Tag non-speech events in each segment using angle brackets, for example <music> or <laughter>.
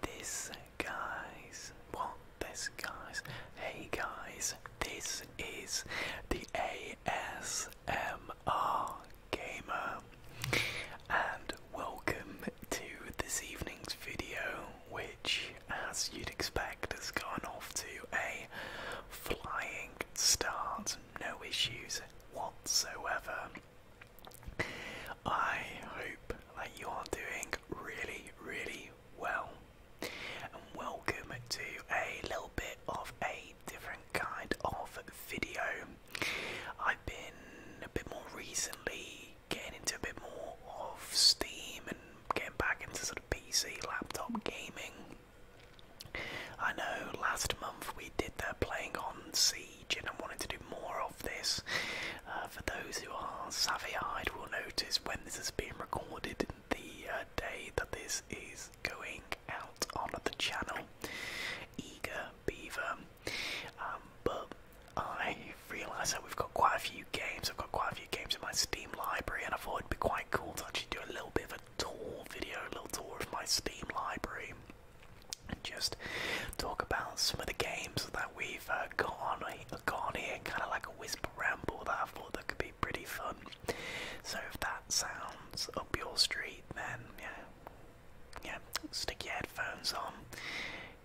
This guys, well, this guys, hey guys, this is the ASMR Gamer, and welcome to this evening's video, which, as you'd expect, has gone off to a flying start, no issues whatsoever. I hope that you are doing really, really well. And welcome to a little bit of a different kind of video. I've been a bit more recently getting into a bit more of Steam and getting back into sort of PC laptop gaming. I know last month we did that playing on Siege and I am wanting to do more of. Uh, for those who are savvy-eyed, will notice when this has been recorded the uh, day that this is going out on the channel. Eager Beaver, um, but I realise that we've got quite a few games. I've got quite a few games in my Steam library, and I thought it'd be quite cool to actually do a little bit of a tour video, a little tour of my Steam library, and just talk about some of the games that we've uh, got on got on here, kind of like a whisper ramble that I thought that could be pretty fun. So if that sounds up your street, then yeah, yeah, stick your headphones on,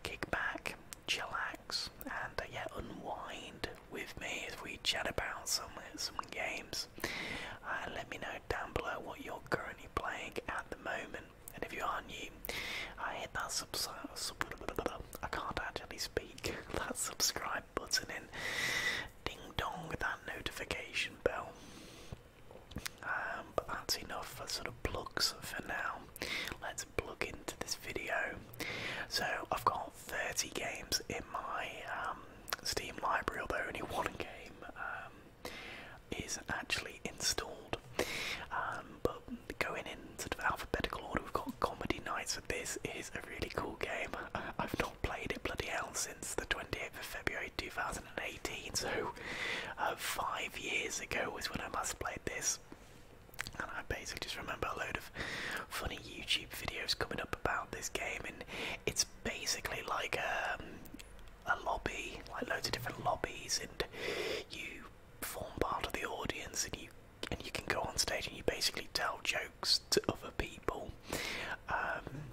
kick back, chillax, and uh, yeah, unwind with me as we chat about some uh, some games. Uh, let me know down below what you're currently playing at the moment and if you are new, I hit that sub I can't actually speak <laughs> that subscribe button and ding dong that notification bell. Um, but that's enough for sort of plugs for now. Let's plug into this video. So I've got 30 games in my um, Steam library, although only one game. Um, is actually installed. Um, but going in sort of alphabetical order, we've got Comedy Nights. So this is a really cool game. I've not played it bloody hell since the 28th of February 2018. So uh, five years ago was when I must played this. And I basically just remember a load of funny YouTube videos coming up about this game, and it's basically like um, a lobby, like loads of different lobbies, and you form part of the audience and you and you can go on stage and you basically tell jokes to other people. Um,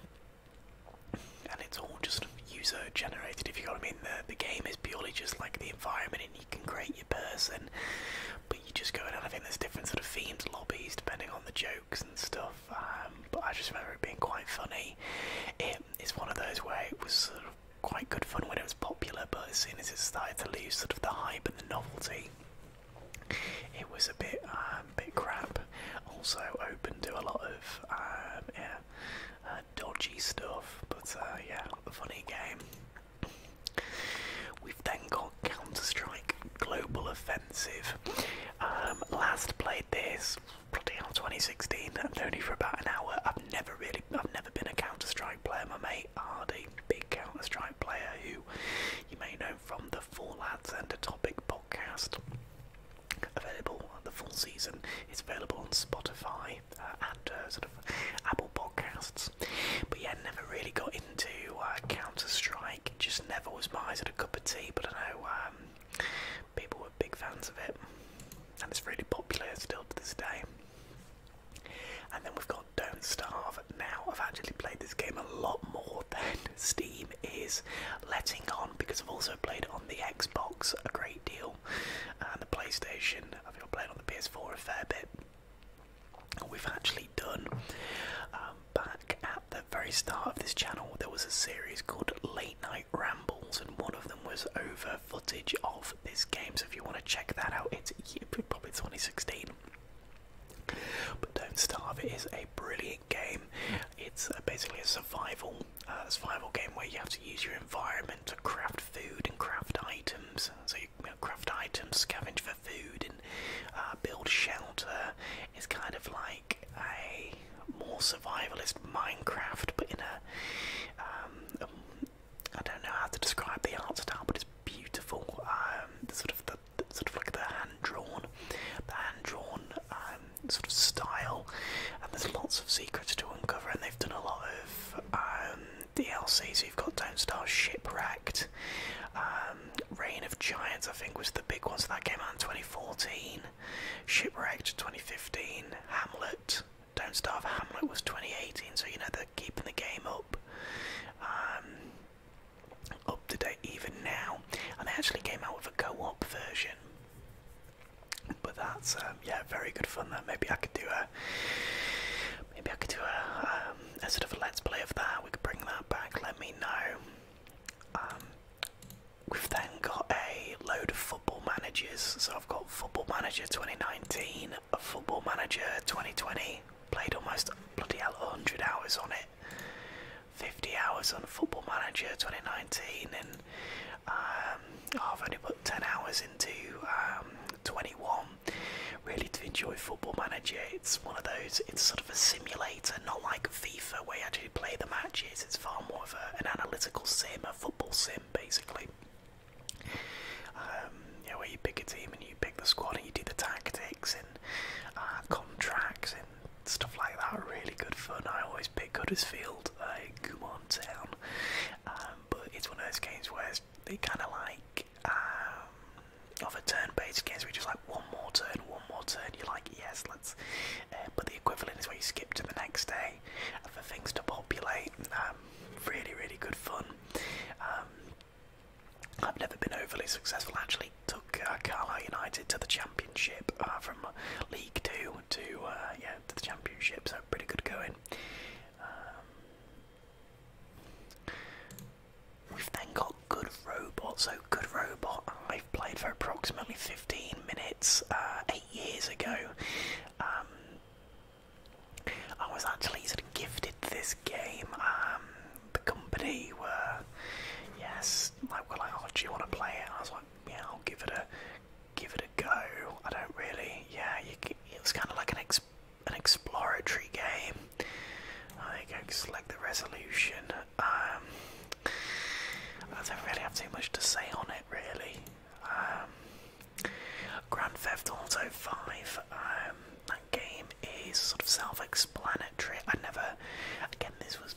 and it's all just user generated if you know what I mean. The the game is purely just like the environment and you can create your person but you just go in and I think there's different sort of themed lobbies depending on the jokes and stuff. Um, but I just remember it being quite funny. It is one of those where it was sort of quite good fun when it was popular, but as soon as it started to lose sort of the hype and the novelty, it was a bit, um, bit crap. Also open to a lot of um, yeah, uh, dodgy stuff, but uh, yeah, a funny game. We've then got Counter Strike Global Offensive. Um, last played this bloody 2016. I've known for about an hour. I've never really, I've never been a Counter Strike player. My mate Hardy, big Counter Strike player, who you may know from the Full Ads and the Topic podcast. Available uh, the full season is available on Spotify uh, and uh, sort of Apple Podcasts. But yeah, never really got into Counter Strike. Just never was my sort of cup of tea. But I know. Um, people were big fans of it, and it's really popular still to this day. And then we've got Don't Starve. Now, I've actually played this game a lot more than <laughs> Steam is letting on because I've also played on the Xbox a great deal and the PlayStation. I think I've played on the PS4 a fair bit. We've actually done um, back at the very start of this channel, there was a series called Late Night Rambles, and one of them was over footage of this game, so if you want to check that out, it's probably 2016. But Don't Starve is a brilliant game. It's uh, basically a survival, uh, survival game where you have to use your environment to craft food and craft items. So you, you craft items, scavenge for food, and uh, build shelter. It's kind of like a more survivalist Minecraft, but in a um, don't know how to describe the art style, but it's beautiful. Um, sort of the, sort of like the hand drawn, the hand drawn um, sort of style, and there's lots of secrets to uncover, and they've done a lot of DLCs. DLC. you've got Down Star Shipwrecked, Reign of Giants, I think was the big one. that came out in 2014, Shipwrecked 2015, Hamlet don't Starve Hamlet was 2018, so you know they're keeping the game up, um, up to date even now. And they actually came out with a co-op version. But that's um, yeah, very good fun. There, maybe I could do a, maybe I could do a, um, a sort of a let's play of that. We could bring that back. Let me know. We've then got a load of football managers. So I've got Football Manager 2019, Football Manager 2020. Played almost bloody hell 100 hours on it. 50 hours on Football Manager 2019, and um, oh, I've only put 10 hours into um, 21. Really to enjoy Football Manager. It's one of those. It's sort of a simulator, not like FIFA where you actually play the matches. It's far more of an analytical sim football sim basically. Um, where you pick a team and you pick the squad and you do the tactics and uh, contracts and stuff like that. Really good fun. I always pick Huddersfield, uh, Gumon Town, um, but it's one of those games where they kind of like. Um, of a turn-based game, so we are just like one more turn, one more turn. You're like, yes, let's. Uh, but the equivalent is where you skip to the next day, for things to populate. Um, really, really good fun. Um, I've never been overly successful. Actually, took uh, Carlisle United to the championship uh, from League Two to uh, yeah to the championship. So pretty good going. Um, we've then got Good Robot. So Good Robot, I've played for approximately 15 minutes uh, eight years ago. Um, I was actually sort of gifted this game. Um, the company were, yes, like, well, like, oh, do you want to play it? I was like, yeah, I'll give it a, give it a go. I don't really, yeah, it was kind of like an an exploratory game. I think go select the resolution. Um, I don't really have too much to say on it, really. Um, Grand Theft Auto V. Um, that game is sort of self explanatory. I never, again, this was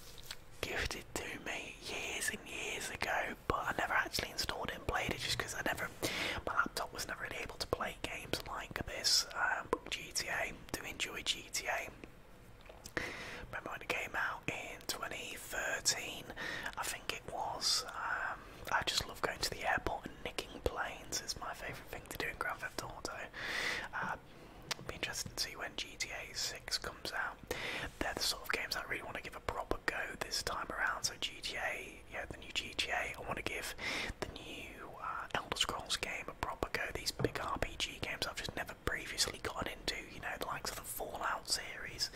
gifted to me years and years ago, but I never actually installed it and played it just because I never, my laptop was never really able to play games like this. Um, GTA, do enjoy GTA. Remember when it came out in 2013? I think it was. Um, I just love going to the airport and nicking planes. It's my favourite thing to do in Grand Theft Auto. Uh, I'll be interested to see when GTA 6 comes out. They're the sort of games I really want to give a proper go this time around. So GTA, yeah, the new GTA. I want to give the new uh, Elder Scrolls game a proper go. These big RPG games I've just never previously gotten into, you know, the likes of the Fallout series.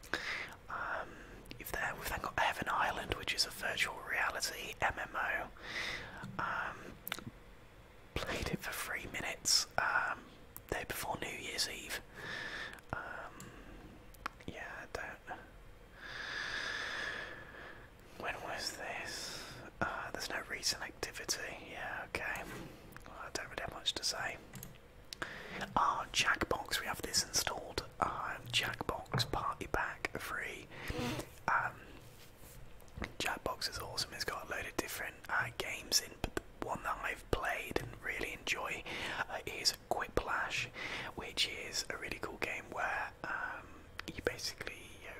if um, there, we've then got Heaven Island, which is a virtual reality MMO. Um, played it for three minutes um, day before New Year's Eve. yeah, I don't. When was this? Uh, there's no reason activity. Yeah, okay. I don't really have much to say. Ah, Jackbox. We have this installed. Ah, Jackbox Party Pack free. Um, Jackbox is awesome. It's got a load of different uh, games in, but the one that I've played and really enjoy uh, is Quiplash, which is a really cool game where um, you basically you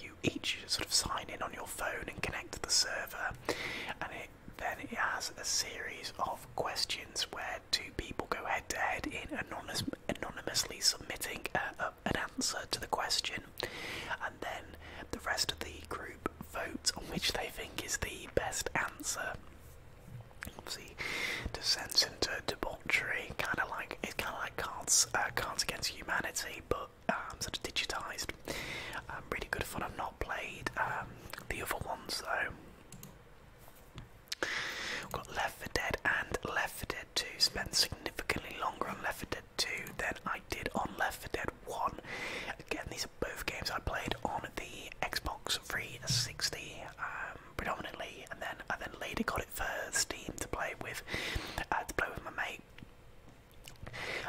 you each sort of sign in on your phone and connect to the server, and it then it has a series of questions where two people go head to head in anonymous, anonymously submitting an answer to the question, and then the rest of the group votes on which they think is the best answer. Obviously, descends into debauchery, kind of like it's kind of like Cards uh, Cards Against Humanity, but but um, sort of digitized. Um, really good fun. I've not played um, the other ones though. We've got Left 4 Dead and Left 4 Dead 2. Spent significantly longer on Left 4 Dead 2 than I did on Left 4 Dead 1. Again, these are both games I played on the Xbox 360 um, predominantly, and then I then later got it for Steam to play with, uh, to play with my mate.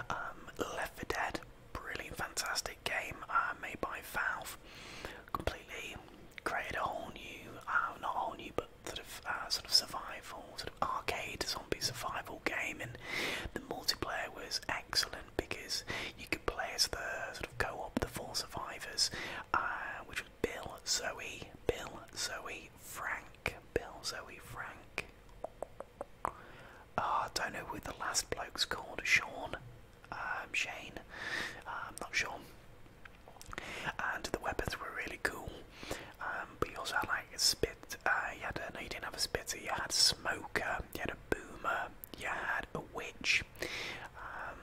Um, Left 4 Dead, brilliant, fantastic game uh, made by Valve. Completely created a whole new, uh, not a whole new, but sort of uh, sort of survival, sort of arcade zombie survival game, and the multiplayer was excellent because you could play as the sort of co-op the four survivors, which was Bill, Zoe, Bill, Zoe, Frank, Bill, Zoe, Frank. Ah, don't know who the last bloke's called. Sean, um, Shane, um, not Sean. And the weapons were really cool. Um, also had a spit. Uh, you had no, you didn't have a spitter. You had a smoker. You had a boomer. You had a witch. Um,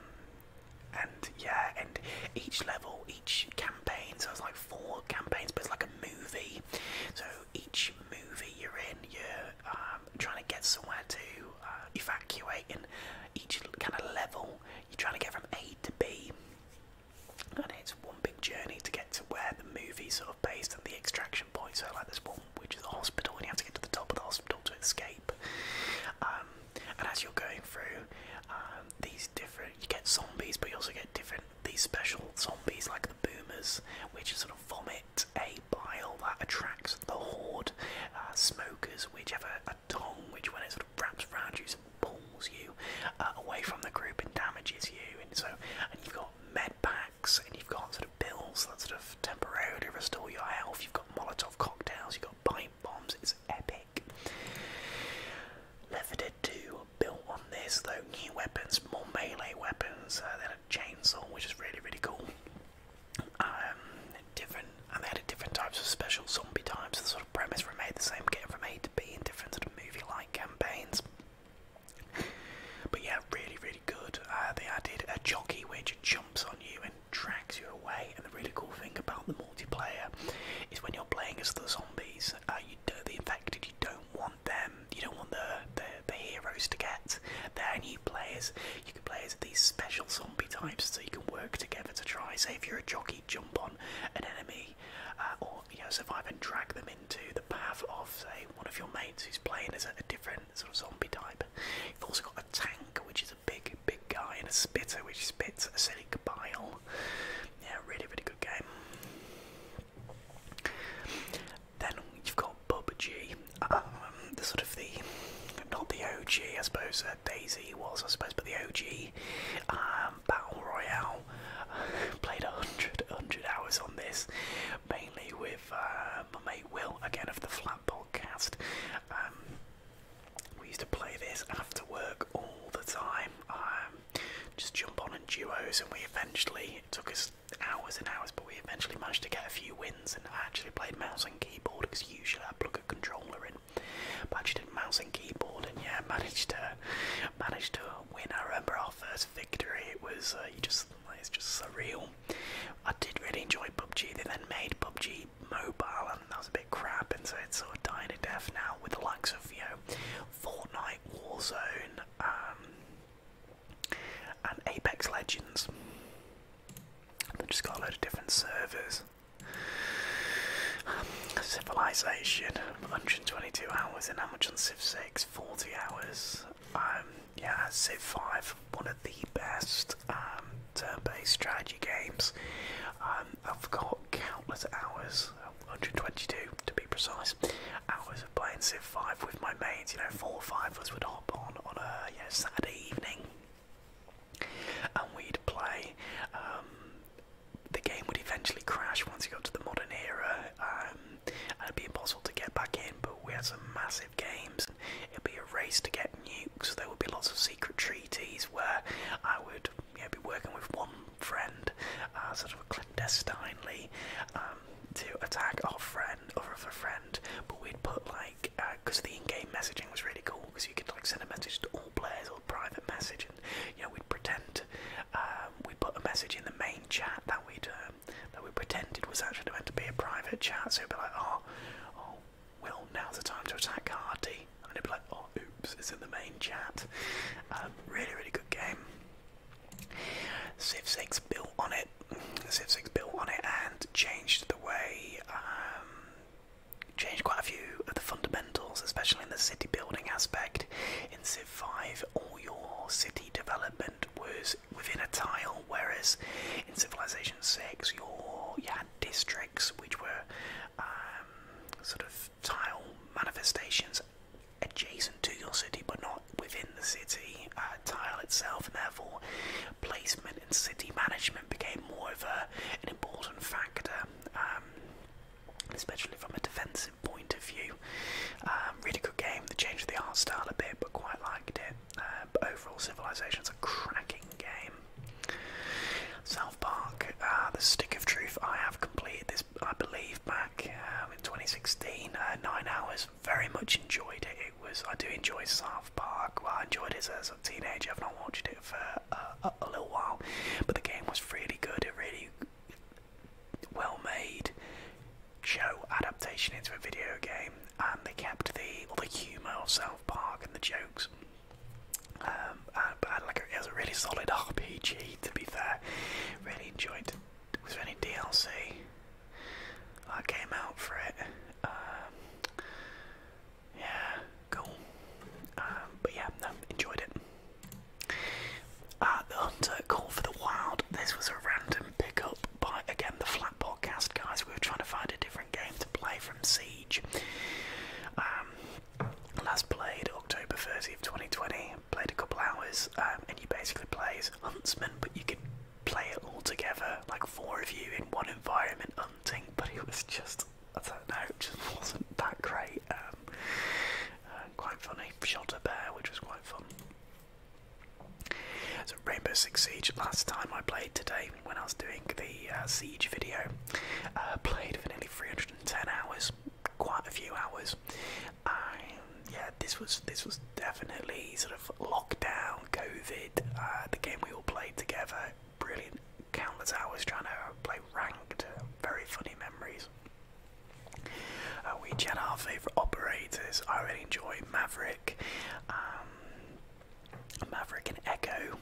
and yeah, and each level, each campaign, so it's like four campaigns, but it's like a movie. So each movie you're in, you're um, trying to get somewhere to uh, evacuate, and each kind of level, you're trying to get from A to B. And it's one big journey to get to where the movie's sort of based and the extraction point. So, like, there's one which is a hospital, and you have to get to the top of the hospital to escape. Um, and as you're going through um, these different, you get zombies, but you also get different these special zombies like the boomers, which sort of vomit a bile that attracts the horde. Uh, smokers, which have a, a tongue, which when it sort of wraps around you, sort of pulls you uh, away from the group and damages you. And so, and you've got med packs, and you've got sort of pills that sort of temporarily restore your health. You've got Molotov cocktails, you've got pipe bombs. It's epic make. Left 4 built on this though, new weapons, more melee weapons, uh, they had a chainsaw which is really really cool. Um, different, and they had different types of special zombie types, the sort of premise remained the same, game from A to be in different sort of movie-like campaigns. But yeah, really, really good. Uh, they added a jockey which jumps on you and drags you away. And the really cool thing about them multiplayer is when you're playing as the zombies, uh, you do the infected, you don't want them, you don't want the, the, heroes to get are new players. You can play as these special zombie types, so you can work together to try, say if you're a jockey, jump on an enemy uh, or you know, survive and drag them into the path of, say, one of your mates who's playing as a different sort of zombie type. You've also got a tank, which is a big big guy in a spitter which spits acidic bile. Yeah, really, really good game. Then you've got Bubba G, um, the sort of the not the OG, I suppose uh, Daisy was, I suppose, but the OG um, battle royale. <laughs> Played 100, 100 hours on this, mainly with uh, my mate Will, again of the Flat Podcast. Um, we used to play this after work all the time. Um, just jump on in duos, and we eventually it took us hours and hours, but we eventually managed to get a few wins. And I actually played mouse and keyboard because usually I plug a controller in, but I did mouse and keyboard, and yeah, <laughs> managed to managed to win. I remember our first victory. It was uh, just it's just surreal. I did really enjoy PUBG. They then made PUBG mobile, and that was a bit crap, and so it's sort of dying to death now with the likes of you know Fortnite, Warzone, um, and Apex Legends. They've just got a lot of different servers. Civilization, 122 hours, in. how much on Civ 6? 40 hours. Um, yeah, Civ 5, one of the best um, turn-based strategy games. Um, I've got countless hours, 122 to be precise, hours of playing Civ 5 with my mates. You know, four or five of us would hop on on a Saturday evening, and we'd play. Um, the game would eventually crash once you got to the modern era, um, and it'd be impossible to get back in. But we had some massive games. It'd be a race to get nukes. There would be lots of secret treaties where I would you know, be working with one friend, uh, sort of clandestinely, um, to attack our friend, or other friend, but we'd put like, because uh, the in-game messaging was really cool, because you could like send a message to all players or private message, and you know we'd pretend um, we put a message in the main chat that we'd um, that we pretended was actually meant to be a private chat, so it'd be like, oh, oh, well, now's the time to attack Hardy. And it will be like, oh, oops, it's in the main chat. Um, really, really good game. Civ 6 built on it. Civ 6 built on it and changed the way, um, changed quite a few of the fundamentals, especially in the city building aspect. In Civ 5, all your city development was within a tile, whereas in Civilization 6, you had districts which were um, sort of tile manifestations adjacent to your city but not within the city uh, tile itself and therefore placement and city management became more of a, an important factor um, especially from a defensive point of view um, really good game The change of the art style a bit but quite liked it uh, but overall civilization's a cracking game South Park, uh, The Stick of Truth. I have completed this, I believe, back uh, in 2016. Uh, nine hours. Very much enjoyed it. It was. I do enjoy South Park. Well, I enjoyed it as a teenager. I've not watched it for a little while, but the game was really good. It really well made show adaptation into a video game, and they kept the all the humour of South Park and the jokes but um, like it was a really solid RPG to be fair. Really enjoyed. Was any DLC that came out for it? Um, yeah, cool. Um, but yeah, enjoyed it. Uh, the Hunter Call for the Wild. This was a random pickup by again the Flat Podcast guys. We were trying to find a different game to play from Siege. Um, last played October 30th, 2020. Played a couple hours, um, and you basically play as Huntsman, but you can play it all together, like four of you in one environment hunting. <laughs> But it was just, I don't know, it just wasn't that great. Um, uh, quite funny. Shot a bear, which was quite fun. So Rainbow Siege. Last time I played today when I was doing the uh, Siege video, uh, played for nearly 310 hours, quite a few hours. Um, yeah, this was this was definitely sort of lockdown, COVID, uh, the game we all played together. Brilliant, countless hours trying to play ranked. very funny memories. we each had our favourite operators. I really enjoy Maverick. Um, Maverick and Echo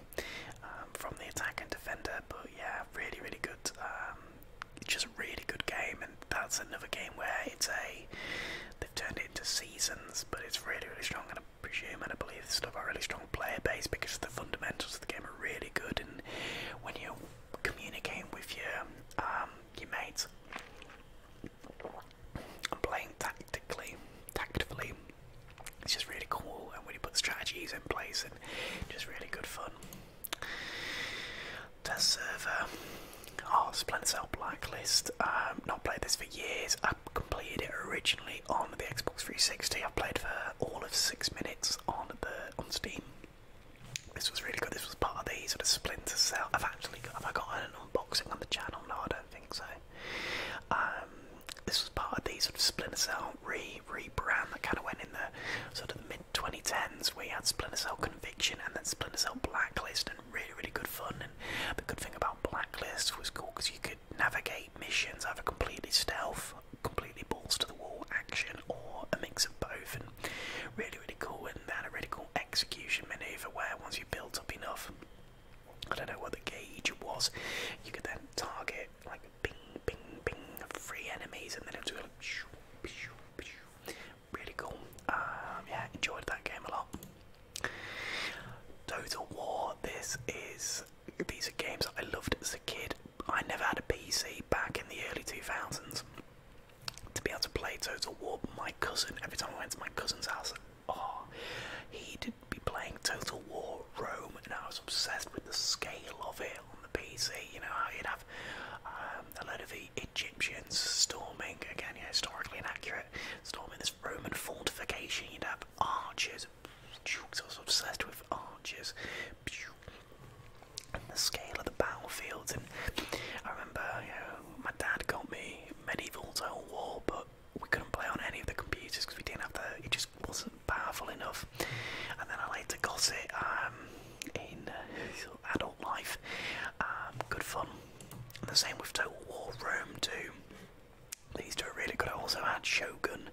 um, from the attack and defender. But yeah, really, really good. Um, just really good game, and that's another game where it's a they've turned it into seasons, but it's really, really strong. And I presume and I believe this still got a really strong player base because the fundamentals of the game are really good. And when you're communicating with your um, your mates and playing tactically, tactfully, it's just really cool and when you put strategies in place and just really good fun. Test server. Oh, Splinter Cell Blacklist. Um, not played this for years. I completed it originally on the Xbox 360. I've played for all of six minutes on the on Steam. This was really good. This was part of the sort of Splinter Cell. I've actually got, have I got an unboxing on the channel? No, I don't think so. Um, this was part of the sort of Splinter Cell re rebrand that kind of went in the sort of mid 2010s We had Splinter Cell Conviction and then Splinter Cell Blacklist and really really good fun and the good thing about Blacklist was cool because you could navigate missions either completely stealth, completely balls to the wall action or a mix of both and really really cool and that really cool execution maneuver where once you built up enough I don't know what the gauge was. You could then target like ping, ping, ping, free enemies, and then it was like shoo, shoo, shoo. really cool. Um, yeah, enjoyed that game a lot. Total War. This is these are games I loved as a kid. I never had a PC back in the early two thousands. To be able to play Total War, my cousin every time I went to my cousin's house, oh, he did be playing Total War Rome, and I was obsessed with the scale of it on the PC. You know, you'd have um, a load of Egyptians storming, again, you know, historically inaccurate, storming this Roman fortification. You'd have archers. I was obsessed with archers. And the scale of the battlefields, and I remember, you know, my dad got me medieval Total War, book we couldn't play on any of the computers because we didn't have the. It just wasn't powerful enough. And then I later got it um, in uh, <laughs> adult life. Um, good fun. the same with Total War Rome too. These two really good. I also had Shogun,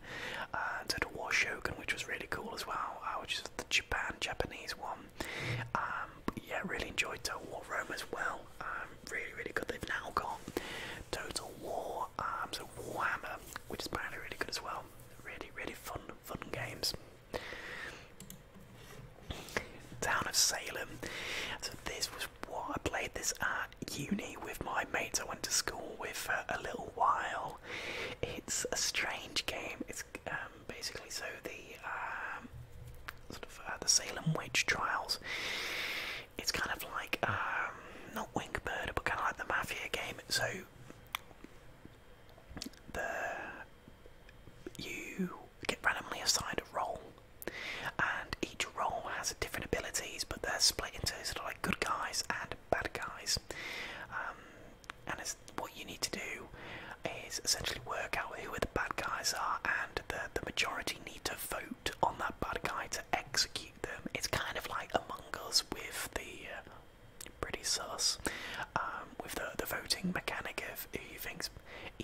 uh, Total War Shogun, which was really cool as well, uh, which is the Japan Japanese one. Um, yeah, really enjoyed Total War Rome as well. Uh, really, really good. They've now got Total War, Arms um, so Warhammer, which is probably really good as well. Really, really fun, fun games. Town of Salem. So this was what I played this at uni with my mates I went to school with for a little while. It's a strange game. It's um, basically so the um, sort of uh, the Salem witch trials it's kind of like um, not Wing Murder, but kind of like the Mafia game. So the you get randomly assigned a role, and each role has different abilities, but they're split into sort of like good guys and bad guys. Um, and what you need to do is essentially work out who the bad guys are, and the the majority need to vote on that bad guy to execute them. It's kind of like Among Us with the uh, pretty sus, um, with the, the voting mechanic of who you think's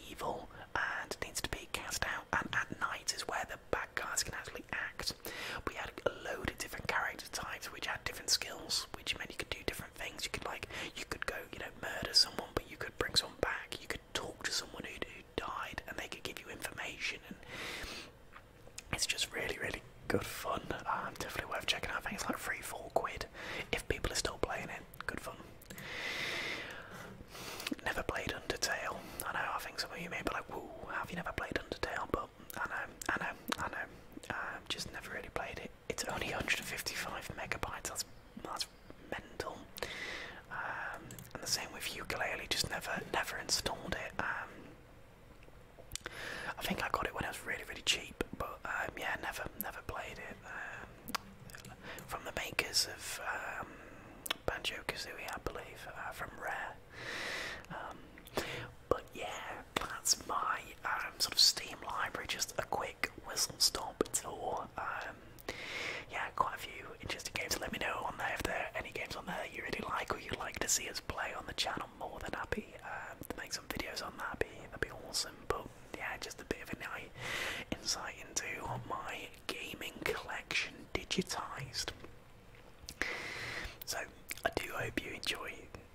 evil and needs to be cast out, and at night is where the bad guys can actually act. We had a load of different character types which had different skills, which meant you could do different things. You could like, you could go, you know, murder someone, but you could bring someone back. You could talk to someone who who died, and they could give you information, and it's just really, really good fun. Um, definitely worth checking out. I think it's like free four quid if people are still playing it. Good fun. Never played Undertale. I know. I think some of you may be like, "Whoa, have you never played Undertale?" But I know, I know, I know. Um, just never really played it. It's only 155 megabytes. That's that's mental. Um, and the same with ukulele, just never, never installed it. Um, I think I got it when it was really, really cheap, but um, yeah, never, never played it. from the makers of Banjo Kazooie, I believe, uh, from Rare. but yeah, that's my sort of Steam library, just a quick whistle stop tour yeah, quite a few interesting games. Let me know on there if there are any games on there you really like or you'd like to see us play on the channel. More than happy um, to make some videos on that. that'd be awesome. But yeah, just a bit of an insight into my gaming collection digitized. So I do hope you enjoy.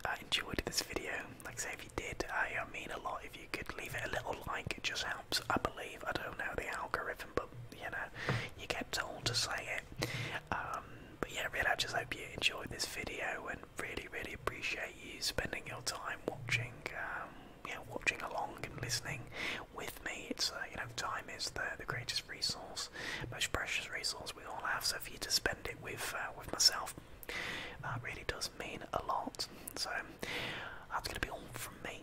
I uh, enjoyed this video. Like I say, if you did, I, I mean a lot if could leave it a little like, it just helps, I believe. I don't know the algorithm, but you know, you get told to say it. Um, but yeah, really, I just hope you enjoyed this video and really, really appreciate you spending your time watching. Um, yeah, watching along and listening with me. It's uh, you know, time is the the greatest resource, most precious resource we all have. So for you to spend it with uh, with myself, that uh, really does mean a lot. So that's gonna be all from me.